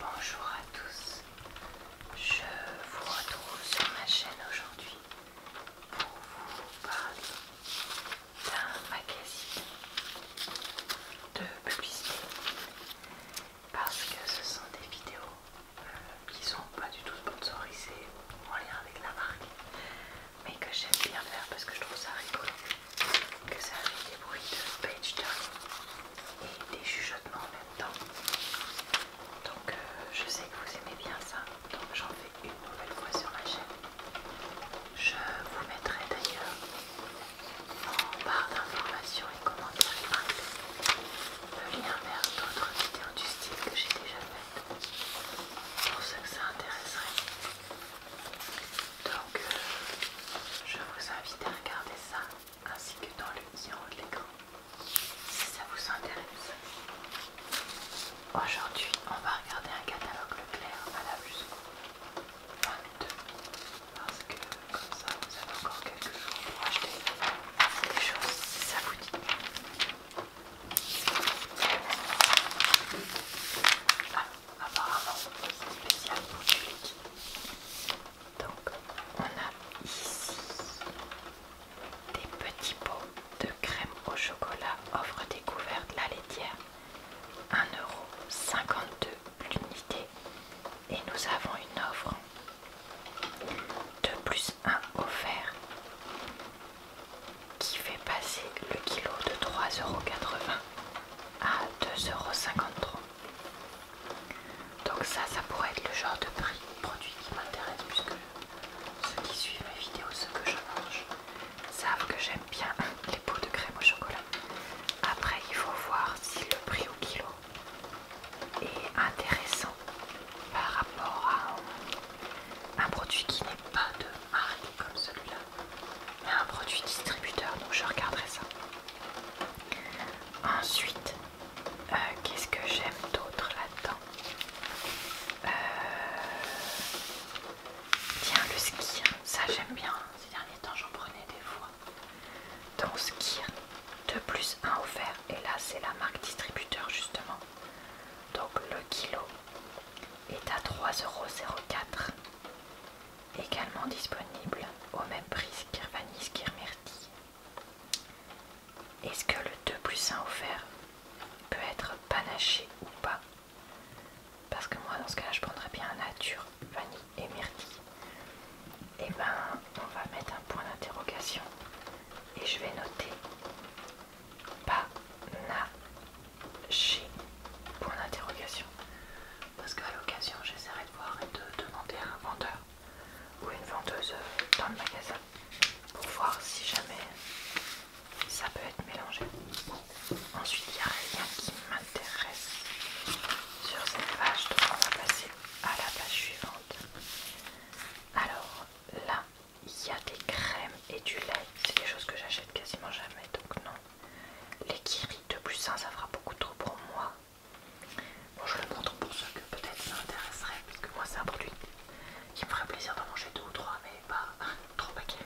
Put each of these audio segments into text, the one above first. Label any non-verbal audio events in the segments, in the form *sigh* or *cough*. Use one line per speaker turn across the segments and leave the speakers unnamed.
Bonjour à tous, je vous retrouve sur ma chaîne aujourd'hui pour vous parler d'un magazine de publicité parce que ce sont des vidéos qui euh, qui sont pas du tout sponsorisées en lien avec la marque mais que j'aime bien faire parce que je trouve ça rigolo que ça fait des bruits de page turning et des chuchotements en même temps. Donc euh, je sais que vous aimez bien ça, donc j'en fais une nouvelle fois sur ma chaîne. Je vous mettrai d'ailleurs en barre d'informations et commentaires le lien vers d'autres vidéos du style que j'ai déjà faites pour ceux que ça intéresserait. Donc euh, je vous invite à regarder ça ainsi que dans le tiroir de l'écran si ça vous intéresse. Aujourd'hui, on va regarder un catalogue clair à la plus 22 parce que comme ça vous avez encore quelques jours pour acheter des choses si ça vous dit. Ah, apparemment, c'est spécial pour donc on a ici des petits pots de crème au chocolat offre découverte la laitière 1,52€ l'unité et nous avons une offre de plus 1 offert qui fait passer le kilo de 3,80€ à 2,53€. Donc ça, ça pourrait être le genre de prix, produit qui m'intéresse puisque ceux qui suivent mes vidéos, ceux que je mange, savent que j'aime bien *laughs* les pots de crème au chocolat. Après, il faut voir si le prix au kilo est intéressant par rapport à un, produit qui n'est pas de marque comme celui-là, mais un produit distributeur. Donc je regarderai ça. Ensuite, euh, qu'est-ce que j'aime d'autre là-dedans euh, Tiens, le ski, ça j'aime bien. Ces derniers temps, j'en prenais des fois. Donc ski, 2 plus 1 offert. Et là, c'est la marque distributeur justement. Donc le kilo est à 3,04€. Également disponible au même prix Skirvanis, Skirmer est-ce que le 2 plus 1 offert peut être panaché ou pas Parce que moi dans ce cas là je prendrais bien nature, vanille et myrtille. Et eh ben on va mettre un point d'interrogation et je vais noter panaché, point d'interrogation. Parce qu'à l'occasion j'essaierai de voir et de demander à un vendeur ou une vendeuse dans le magasin pour voir si jamais ça peut être mélangé. Ensuite, il n'y a rien qui m'intéresse sur cette page, donc on va passer à la page suivante. Alors là, il y a des crèmes et du lait, c'est des choses que j'achète quasiment jamais, donc non. Les Kiri de plus 1, ça fera beaucoup trop pour moi. Bon, je le montre pour ceux que peut-être ça intéresserait, parce que moi c'est un produit qui me ferait plaisir d'en manger 2 ou 3, mais pas *laughs* trop paquet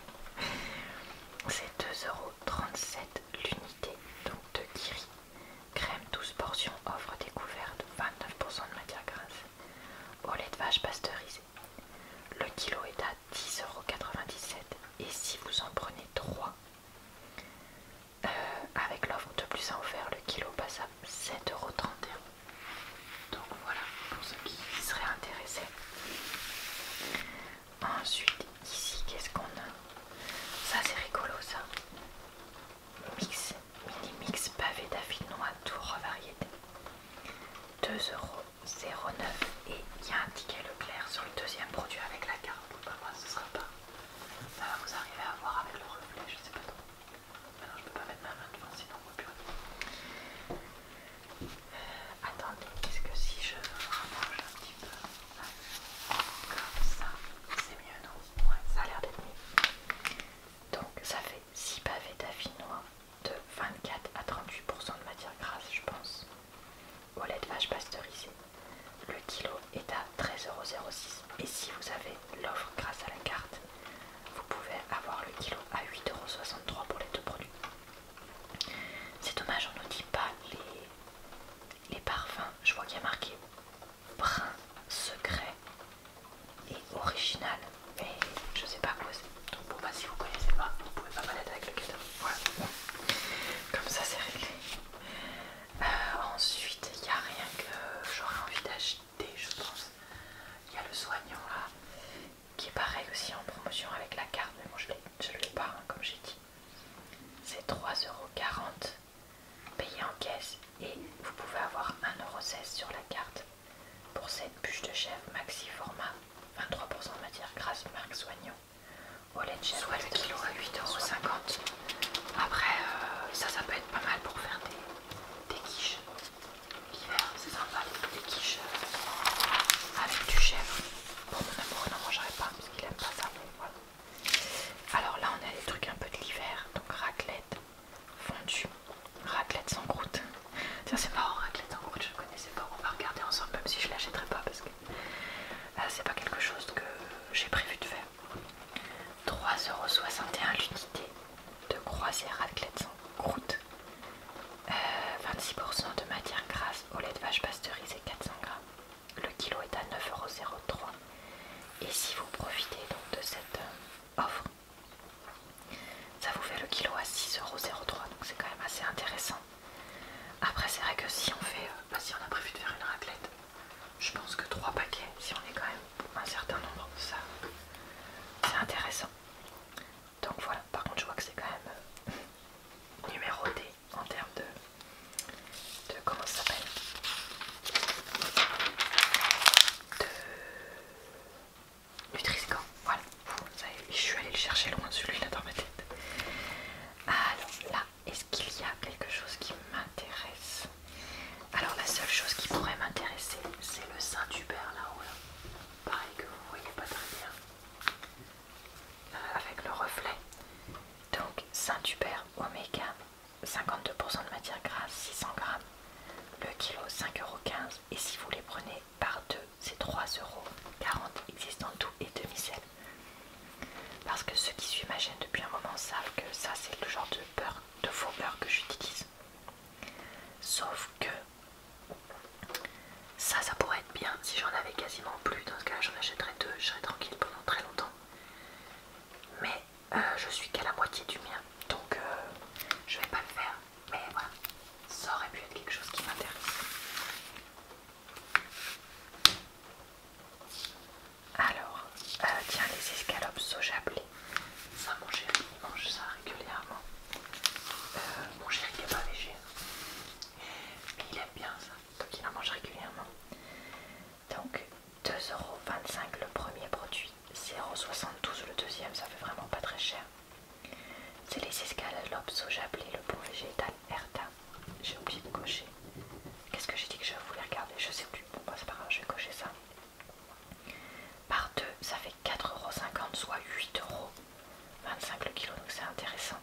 C'est 2,37€ l'unité, donc de Kiri. Crème 12 portions, offre découverte, 29% de matière grasse. Au lait de vache pasteurisé. Le kilo est à 10,97€ et si vous en prenez 3, euh, avec l'offre de plus à offrir, le kilo passe à 7,31€. Donc voilà pour ceux qui seraient intéressés. Ensuite, ici, qu'est-ce qu'on a Ça, c'est rigolo, ça. Mix, mini mix pavé à tour variété. 2,09€ et il y a un ticket clair sur le deuxième produit avec la carte. Bah, moi, ce sera pas ça va vous arriver à voir avec le reflet, je sais pas trop. Maintenant je peux pas mettre ma main devant sinon on voit plus euh, Attendez, qu'est-ce que si je rapproche un petit peu comme ça, c'est mieux non Ouais, ça a l'air d'être mieux. Donc ça fait 6 pavés d'affinois de 24 à 38% de matière grasse je pense. Au lait de vache pasteurisé. Le kilo est à 13,06€ et si vous avez l'offre grâce à la carte, vous pouvez avoir le kilo à 8,63€ pour les deux produits. C'est dommage, on ne dit pas les, les parfums. Je vois qu'il y a marqué brun, secret et original. Mais je sais pas quoi c'est. Donc bon bah, si vous connaissez pas, vous pouvez pas malade avec le cadeau. Voilà. Comme ça c'est réglé. Euh, ensuite, il n'y a rien que j'aurais envie d'acheter, je pense. Il y a le soignant là, qui est pareil aussi en promotion avec la carte, mais bon, je ne l'ai pas, hein, comme j'ai dit. C'est 3,40€ payé en caisse et vous pouvez avoir 1,16€ sur la carte pour cette bûche de chèvre maxi format 23% de matière grasse marque soignant au lait de chèvre soit le kilo à 8,50€ après, euh, ça, ça peut être pas mal pour faire des, des quiches. L'hiver, c'est sympa, des quiches euh, avec du chèvre. Bon, mon amour n'en mangerait pas parce qu'il aime pas ça. Alors là, on a des trucs un peu de l'hiver, donc raclette fondue, raclette sans croûte. Tiens, c'est marrant, raclette sans croûte, je ne connaissais pas. On va regarder ensemble, même si je l'achèterai pas parce que euh, c'est pas quelque chose que j'ai prévu de faire. 3,61€ l'unité de croisière raclette sans croûte. 26% de matière grasse au lait de vache pasteurisé 400 g. Le kilo est à 9,03€. Et si vous profitez donc de cette euh, offre, ça vous fait le kilo à 6,03€. Donc c'est quand même assez intéressant. Après c'est vrai que si on fait, euh, bah, si on a prévu de faire une raclette je pense que 3 paquets, si on est quand même un certain nombre, ça c'est intéressant. Donc voilà, par contre je vois que c'est quand même euh, numéroté en termes de, de comment ça s'appelle de nutriscan. Voilà, je suis allée le chercher loin de celui-là dans ma tête. Alors là, est-ce qu'il y a quelque chose qui m'intéresse Alors la seule chose qui pourrait m'intéresser, c'est le Saint-Hubert là-haut. Euh, pareil que vous voyez pas très bien. Euh, avec le reflet. Donc Saint-Hubert Oméga, 52% de matière grasse, 600 grammes. Le kilo, 5,15€. Et si vous les prenez par deux, c'est 3,40€. Existe en tout et demi-sel. Parce que ceux qui suivent ma depuis un moment savent que ça, c'est le genre de peur, de faux beurre que j'utilise. Sauf que ça, ça pourrait être bien si j'en avais quasiment plus. Dans ce cas, j'en achèterais deux, je serais tranquille pendant très longtemps. Mais euh, je suis qu'à la moitié du mien, donc euh, je vais pas le faire. Mais voilà, ça aurait pu être quelque chose qui m'intéresse. Alors, euh, tiens, les escalopes soja blé. Ça, mon chéri, il mange ça régulièrement. Euh, mon chéri n'est pas végé. Hein. il aime bien ça, donc il en mange régulièrement. Donc, 2,25€ le premier produit, 0,72€ le deuxième, ça fait vraiment pas très cher. C'est les escalopes soja blé, le bon végétal Herta. J'ai oublié de cocher. Qu'est-ce que j'ai dit que je voulais regarder Je sais plus. Bon, bah, c'est pas je vais cocher ça. Par deux, ça fait 4,50€, soit 8,25€ le kilo, donc c'est intéressant.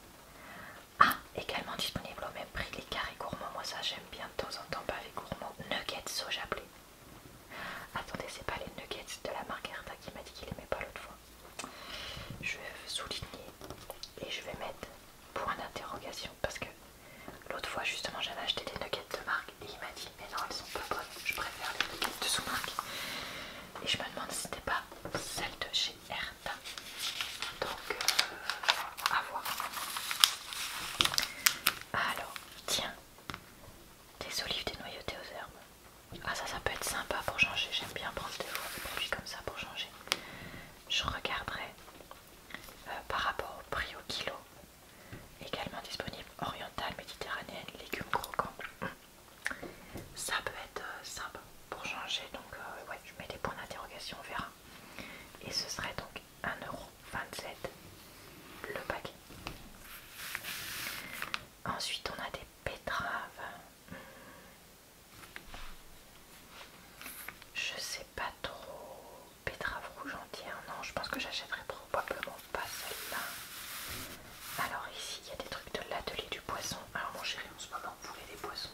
Ah, également disponible au même prix, les carrés gourmands. Moi, ça j'aime bien de temps en temps, pavés gourmands, Nuggets soja blé. Attendez, c'est pas les nuggets de la marque qui m'a dit qu'il aimait pas l'autre fois. Je vais souligner et je vais mettre point d'interrogation parce que L'autre fois justement j'avais acheté des nuggets de marque et il m'a dit mais non elles sont pas bonnes, je préfère les nuggets de sous-marque. Et je me demande si c'était pas celle de chez Herta. Donc euh, à voir. Alors, tiens, des olives dénoyautées aux herbes. Ah ça ça peut être sympa pour changer, j'aime bien prendre des comme ça pour changer. Je regarderai euh, par rapport au prix au kilo Également disponible orientale, méditerranéenne, légumes croquants. Ça peut être euh, sympa pour changer. Donc, euh, ouais, je mets des points d'interrogation, on verra. Et ce serait donc 1,27€ le paquet. Ensuite, on a des betteraves. Hmm. Je sais pas trop. Pétrave rouge entière, hein. non, je pense que j'achèterai probablement pas celle-là. Alors, ici, il y a des trucs de l'atelier du poisson. Alors, mon chéri, en ce moment, voulait des poissons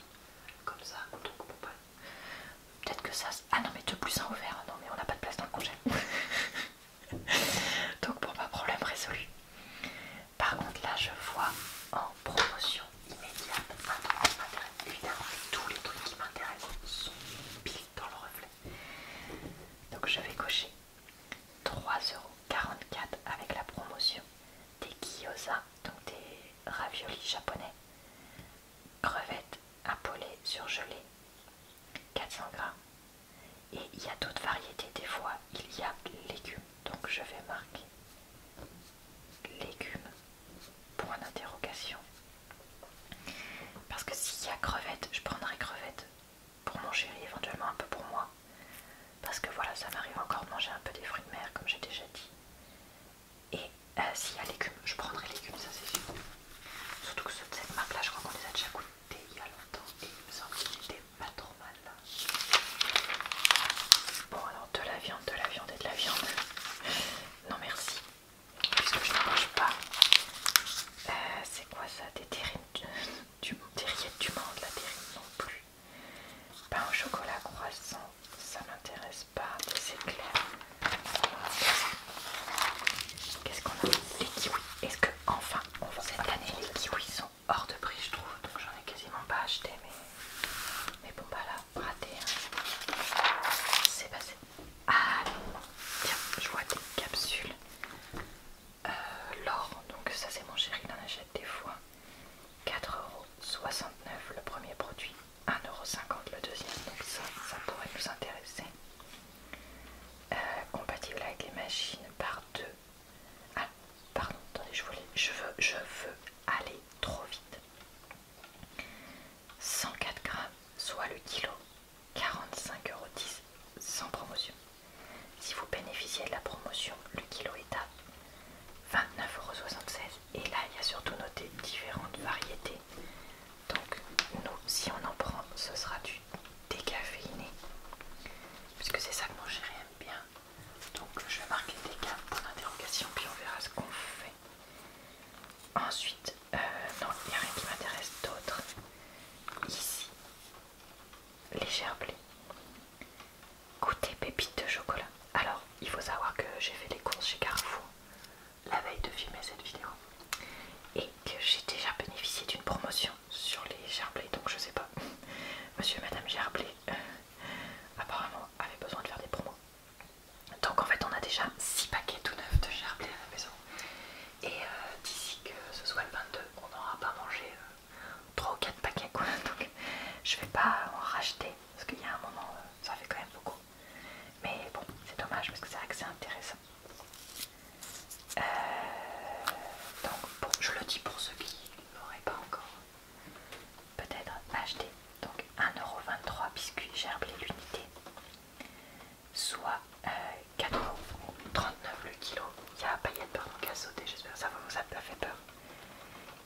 comme ça, donc pas. Peut-être que ça. Ah non, mais de plus en ouvert, non, mais on n'a pas de place dans le congé. *laughs* donc, pour pas problème résolu. Par contre, là, je vois en promotion immédiate un Évidemment, tous les trucs qui m'intéressent sont pile dans le reflet. Donc je vais cocher 3,44€ avec la promotion des gyozas, donc des raviolis japonais, crevettes à polé surgelées, 400 grammes. Et il y a d'autres variétés, des fois il y a légumes, donc je vais marquer légumes Point d'interrogation. Parce que s'il y a crevettes, je prendrai crevettes pour mon chéri, éventuellement un peu pour moi. Parce que voilà, ça m'arrive encore de manger un peu des fruits de mer, comme j'ai déjà dit. Et euh, s'il y a légumes, je prendrai légumes, ça c'est sûr. Surtout que ceux de cette marque là, je crois qu'on les a déjà goûtés il y a longtemps et il me qu'ils pas trop mal. Bon, alors de la viande, de la viande et de la viande. Non merci puisque je ne mange pas. Euh, c'est quoi ça Des terrines *laughs* du, des du monde, la terrine non plus. Pain au chocolat croissant, ça m'intéresse pas. Des éclairs, Qu'est-ce qu'on a Les kiwis. Est-ce que enfin on cette année les kiwis sont hors de prix je trouve, donc j'en ai quasiment pas acheté mais mais bon pas bah là raté hein. c'est passé. Allez, ah, tiens, je vois des capsules. Euh, l'or, donc ça c'est mon chéri, il en achète des fois. 4,69€ le premier produit, 1,50€ le deuxième, donc ça, ça pourrait nous intéresser. Euh, compatible avec les machines par deux. Ah, pardon, attendez, je, voulais, veux, je veux aller trop vite. 104 grammes, soit le kilo, 45,10€ sans promotion. Si vous bénéficiez de la promotion, le kilo est à 29,76€. Et là, il y a surtout noté différentes variétés. Donc, nous, si on en prend, ce sera du décaféiné. Puisque c'est ça que mon chéri aime bien. Donc, je vais marquer décaféiné pour l'interrogation, puis on verra ce qu'on fait. Ensuite, euh, non, il n'y a rien qui m'intéresse d'autre. Ici, les blé. Goûtez pépites de chocolat. Alors, il faut savoir que j'ai fait les courses chez Carrefour la veille de filmer cette vidéo et que j'ai déjà bénéficié d'une promotion sur les gerblés, donc je sais pas. *laughs* Monsieur et Madame Gerblé euh, apparemment avaient besoin de faire des promos. Donc en fait on a déjà 6 paquets tout neufs de gerblé à la maison. Et euh, d'ici que ce soit le 22, on n'aura pas mangé 3 euh, ou 4 paquets quoi. *laughs* Donc je vais pas en racheter parce qu'il y a un moment euh, ça fait quand même beaucoup. Mais bon c'est dommage parce que c'est vrai que c'est intéressant. donc bon, je le dis pour ceux qui n'auraient pas encore peut-être acheté. Donc 1,23€ biscuits gerblé l'unité soit 4,39€ euh, le kilo. Il y a de de qui a sauté, j'espère que ça vous a fait peur.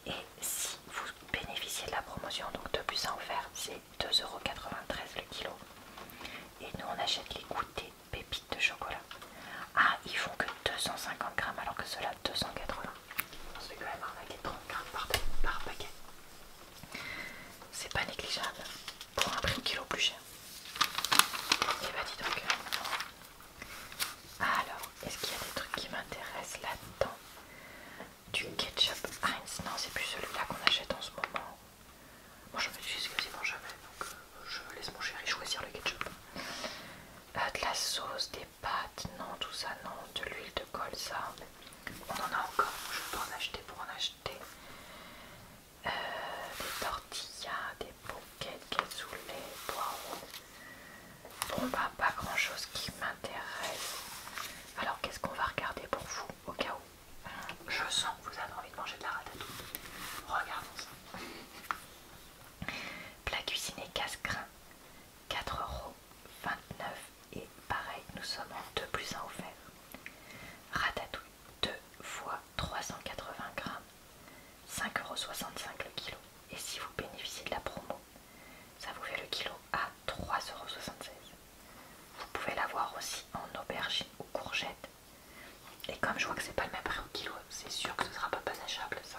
Et si vous bénéficiez de la promotion, donc de plus à offert, c'est 2,93€ le kilo. Et nous on achète les goûters pépites de chocolat. Ah, ils font que 250 grammes alors que cela 280. On se fait quand même arnaquer 30 grammes par paquet. C'est pas négligeable pour un prix kilo plus cher. Et eh bah ben, dis donc. Alors, est-ce qu'il y a des trucs qui m'intéressent là-dedans Du ketchup Heinz Non, c'est plus celui-là qu'on achète en ce moment. Moi je l'utilise quasiment jamais, donc euh, je laisse mon chéri choisir le ketchup. Euh, de la sauce, des pâtes, non, tout ça, non. De l'huile de colza. On en a encore, je peux en acheter pour en acheter. Euh, des tortillas, des bouquets de cassoulet, poireaux. Bon, bah, pas grand chose qui m'intéresse. Alors, qu'est-ce qu'on va regarder pour vous au cas où je sens que vous avez envie de manger de la ratatouille. Regardons ça. Plat cuisiné casse-grain, 4,29€ et pareil, nous sommes en 2 plus 1 offert. Ratatouille, 2 fois 380 grammes, 5,65€ le kilo. Et si vous bénéficiez de la promo, ça vous fait le kilo à 3,76€. Vous pouvez l'avoir aussi en aubergine ou courgette. Et comme je vois que c'est pas le même prix au kilo, c'est sûr que ce sera pas panachable ça.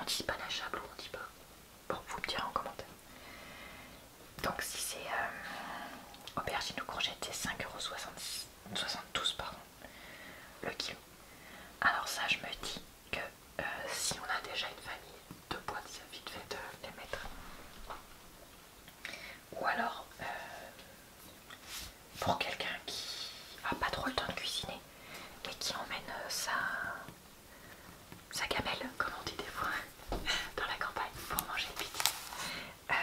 On dit pas panachable ou on dit pas Bon, vous me direz en commentaire donc si c'est euh, aubergine ou courgette c'est 5,72€ pardon le kilo alors ça je me dis que euh, si on a déjà une famille de boîtes ça vite fait de les mettre ou alors euh, pour quelqu'un qui a pas trop le temps de cuisiner et qui emmène sa, sa gamelle comme on dit des fois *laughs* dans la campagne pour manger vite. Euh,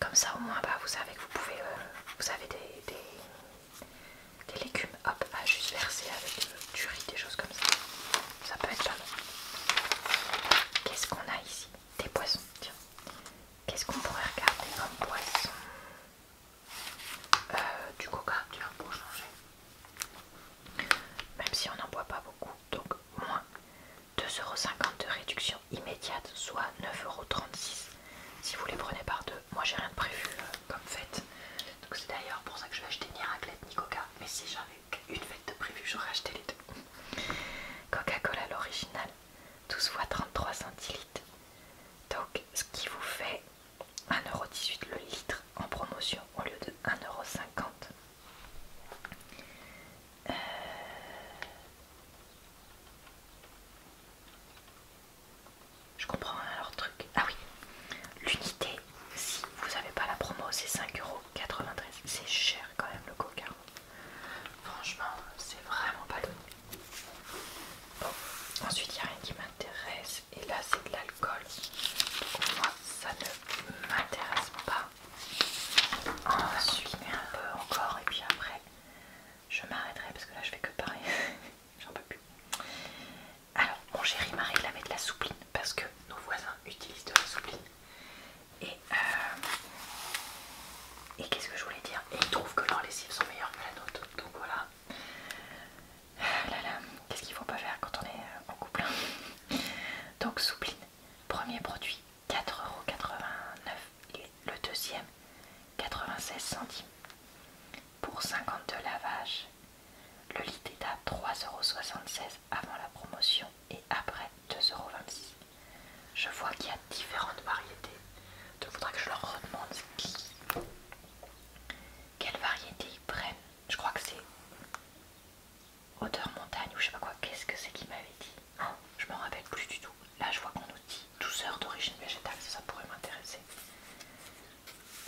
comme ça au moins bah, vous savez que vous pouvez euh, vous avez des, légumes à juste verser avec euh, du riz, des choses comme ça. Ça peut être Qu'est-ce qu'on a ici Des poissons, tiens. Qu'est-ce qu'on pourrait regarder comme poisson Du coca, tiens, pour changer. Même si on n'en boit pas beaucoup, donc moins. 2,50€ de réduction immédiate, soit 9,36€ si vous les prenez par deux. Moi j'ai rien de prévu euh, comme fête, donc c'est d'ailleurs pour ça que je vais acheter ni raclette ni coca. Mais si j'avais qu'une fête de prévu, j'aurais acheté les deux. Coca-Cola l'original, 12 fois 33 cl Donc ce qui vous fait 1,18€ le litre en promotion au lieu de 1,50€. Euh, je comprends leur truc. Ah oui, l'unité, si vous n'avez pas la promo, c'est 5,93€. C'est cher quand même le coca. Franchement, c'est vraiment pas donné. Bon, ensuite, il n'y a rien qui m'intéresse. Et là, c'est de l'alcool. Moi, ça ne m'intéresse pas. On va suivre un peu encore et puis après je m'arrêterai parce que là je fais que parler, *laughs* j'en peux plus. Alors mon chéri m'a réclamé de la soupline parce que nos voisins utilisent de la soupline. Et, euh, et qu'est-ce que je voulais dire ils trouvent que leurs lessives sont meilleures que la nôtre. Donc voilà. Ah qu'est-ce qu'il faut pas faire quand on est euh, en couple hein *laughs* Donc soupline, premier produit 4,89€ le deuxième 96 centimes. Pour 52 lavages, le lit est à 3,76€ avant la promotion et après 2,26€. Je vois qu'il y a différentes variétés. Il faudra que je leur redemande qui, quelle variété ils prennent. Je crois que c'est Odeur montagne ou je sais pas quoi, qu'est-ce que c'est qu'il m'avait dit ah, Je me rappelle plus du tout. Là je vois qu'on nous dit douceur d'origine végétale, ça, pourrait m'intéresser.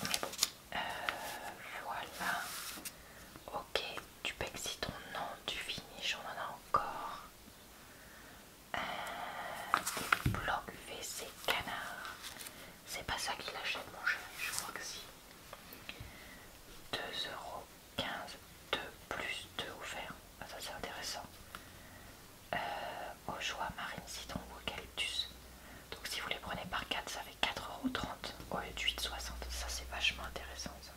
Mais bon, euh, voilà. Ok, du ton nom du finis on en a encore. Euh, des canard. C'est pas ça qu'il achète mon chéri, je crois que si. 2 euros 15 2 plus 2 offert ah, ça c'est intéressant euh, au choix marine citron ou eucalyptus donc si vous les prenez par 4 ça fait 4,30€ au lieu de 8,60€. ça c'est vachement intéressant ça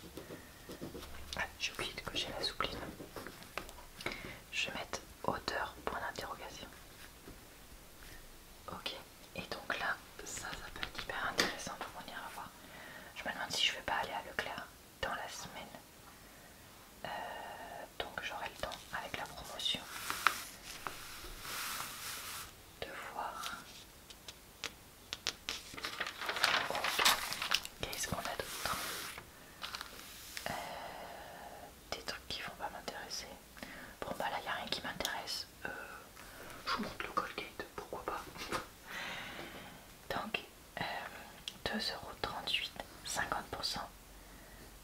ah, j'ai oublié de cocher la soupline je vais mettre hauteur point d'interrogation ok et donc là ça ça peut être hyper intéressant pour venir ira voir je me demande si je vais pas aller à Leclerc dans la semaine. Euh, donc j'aurai le temps avec la promotion de voir. Qu'est-ce qu'on a d'autre euh, Des trucs qui vont pas m'intéresser. Bon bah là il n'y a rien qui m'intéresse. Euh, je vous montre le Colgate, pourquoi pas 2,38€, euh, 50%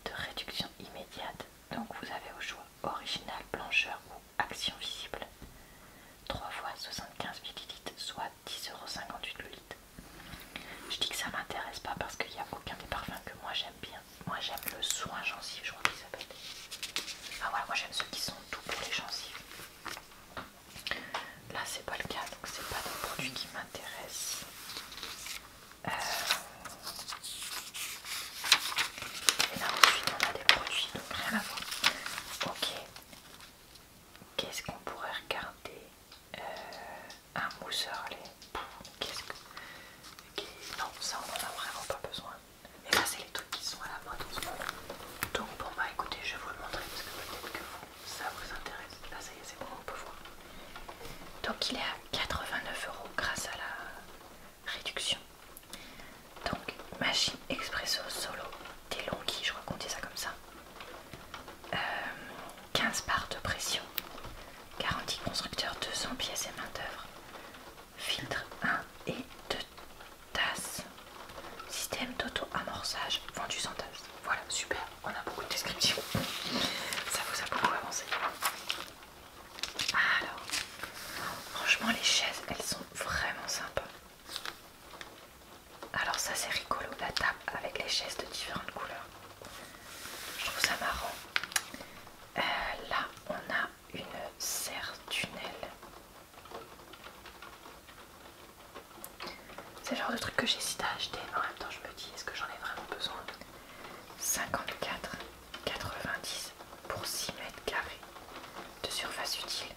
de réduction immédiate. Donc vous avez au choix original, blancheur ou action visible. 3 fois 75 ml, soit 10,58€ le Je dis que ça m'intéresse pas parce qu'il n'y a aucun des parfums que moi j'aime bien. Moi j'aime le soin gencive, je crois qu'il s'appelle. Ah ouais, moi j'aime ceux qui sont tout pour les gencives. Là, c'est pas le cas, donc c'est pas des produits qui m'intéressent. Euh, et là, ensuite, on a des produits, donc rien à voir. Ok. Qu'est-ce qu'on pourrait regarder euh, Un mousseur, les. Qu'est-ce que. Non, ça, on en a vraiment pas besoin. Et là, c'est les trucs qui sont à la mode en ce moment. Donc bon bah écoutez, je vais vous le montrer parce que peut-être que ça vous intéresse. Là ça y est, c'est bon, on peut voir. Donc il est à 89 euros grâce à la réduction. Donc machine expresso solo des je crois ça comme ça. 15 euh, barres de pression, garantie constructeur 200 pièces et main d'œuvre, filtre 1 et 2 tasse, système d'auto-amorçage vendu sans tasse. Voilà, super, on a beaucoup de descriptions. Ça vous a beaucoup avancé. Alors, franchement, les chaises, elles sont vraiment sympas. Alors ça c'est rigolo, la table avec les chaises de différentes couleurs. Je trouve ça marrant. Euh, là on a une serre tunnel. C'est le genre de truc que j'hésite à acheter, mais en même temps je me dis est-ce que j'en ai vraiment besoin 54,90 pour 6 mètres carrés de surface utile.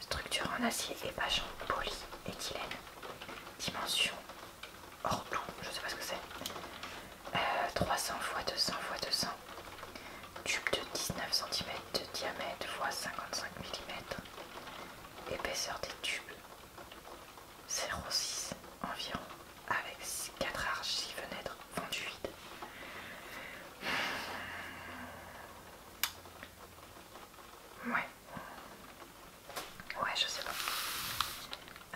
Structure en acier et en polyéthylène. Dimension hors tout, je sais pas ce que c'est. 300 x 200 x 200. Tube de 19 cm de diamètre x 55 mm. Épaisseur des tubes 0,6 environ, avec 4 arches, 6 fenêtres, fondues Ouais. Ouais, je sais pas.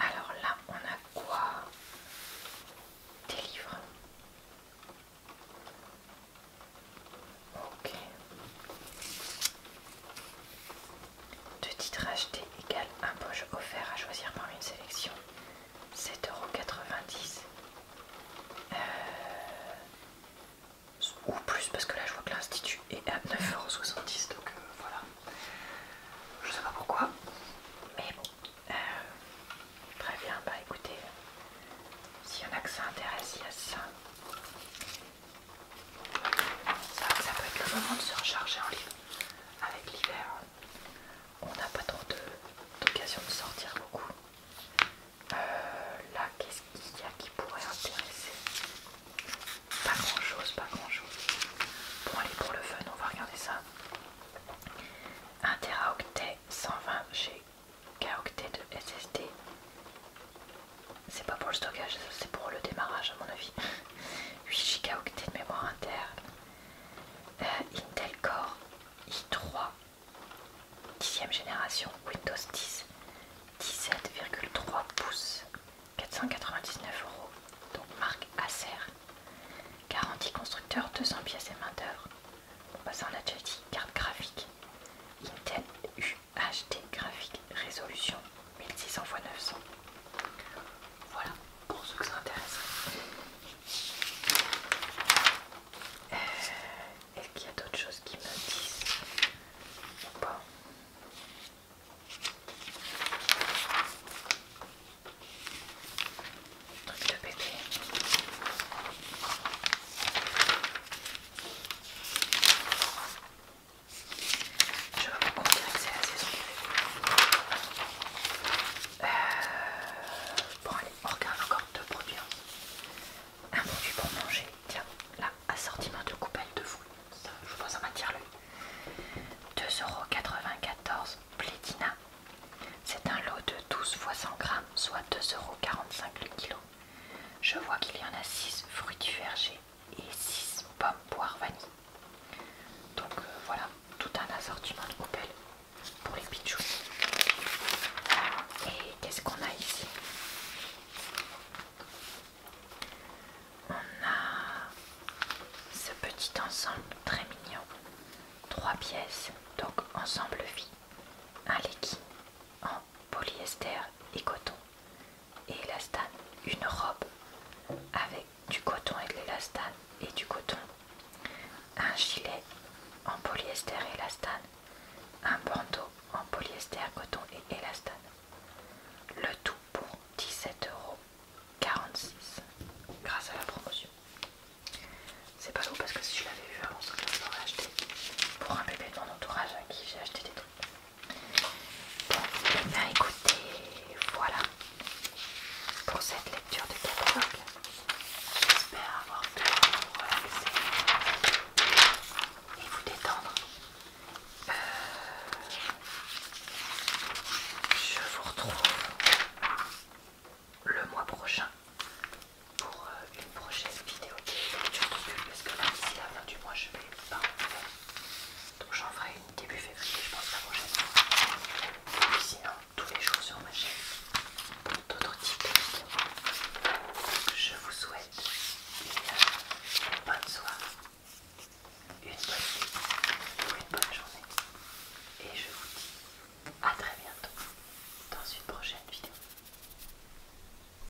Alors là, on a quoi Des livres. Ok. Deux titres achetés égale un poche offert à choisir parmi une sélection. 7,90€. Euh... Ou plus parce que là je vois que l'institut est à 9,70€ donc euh, voilà. Je sais pas pourquoi. Mais bon. Euh, très bien, bah écoutez, s'il y en a que ça intéresse, il y a ça. Ça, peut être le moment de se recharger en livre. Avec l'hiver, on n'a pas trop d'occasion de, sortir beaucoup. Euh, là, qu'est-ce qu'il y a qui pourrait intéresser Pas grand-chose, pas grand-chose. Bon, allez, pour le fun, on va regarder ça. 1 teraoctet 120 G k de SSD. C'est pas pour le stockage, c'est pour le démarrage à mon avis. 8 *laughs* Go de mémoire interne. Euh, Intel Core i3 10 e génération Windows 10 17,3 pouces 499 euros donc marque Acer garantie constructeur 200 pièces et main d'œuvre On va on en adjectif carte graphique Intel U HT graphique résolution 1600 x 900. Voilà pour ceux que ça intéresserait euh, Est-ce qu'il y a d'autres choses qui me disent ou pas Truc de bébé. Je on dirait que c'est la saison euh, Bon allez, on regarde encore deux produits. Hein. Un produit pour manger, tiens, là, assortiment de coupelles de fou. Je je pose en m'attire l'œil. 2,94€ Plétina. C'est un lot de 12 fois 100 grammes, soit 2,45€ le kilo. Je vois qu'il y en a 6 fruits du verger et 6 pommes poire vanille. Donc euh, voilà, tout un assortiment de coupelles pour les pitchous. Et qu'est-ce qu'on a ici On a ce petit ensemble très mignon. Trois pièces, donc ensemble vie. Un legging en polyester et coton et élastane, une robe avec du coton et de l'élastane et du coton, un gilet en polyester et élastane, un bandeau en polyester, coton et élastane. Le tout pour 17,46€ grâce à la promotion. C'est pas lourd parce que si je l'avais vu avant, ça, je l'aurais acheté pour un bébé de mon entourage à qui j'ai acheté des trucs. Bon, bien écoutez, voilà pour cette lecture de catalogue. J'espère avoir pu vous relaxer et vous détendre. Euh, je vous retrouve le mois prochain pour euh, une prochaine vidéo parce que du mois je donc j'en ferai une début février, je pense la prochaine fois. sinon, tous les jours sur ma chaîne, d'autres types de vidéos. Je vous souhaite une bonne soirée, une bonne nuit ou une bonne journée. Et je vous dis à très bientôt dans une prochaine vidéo.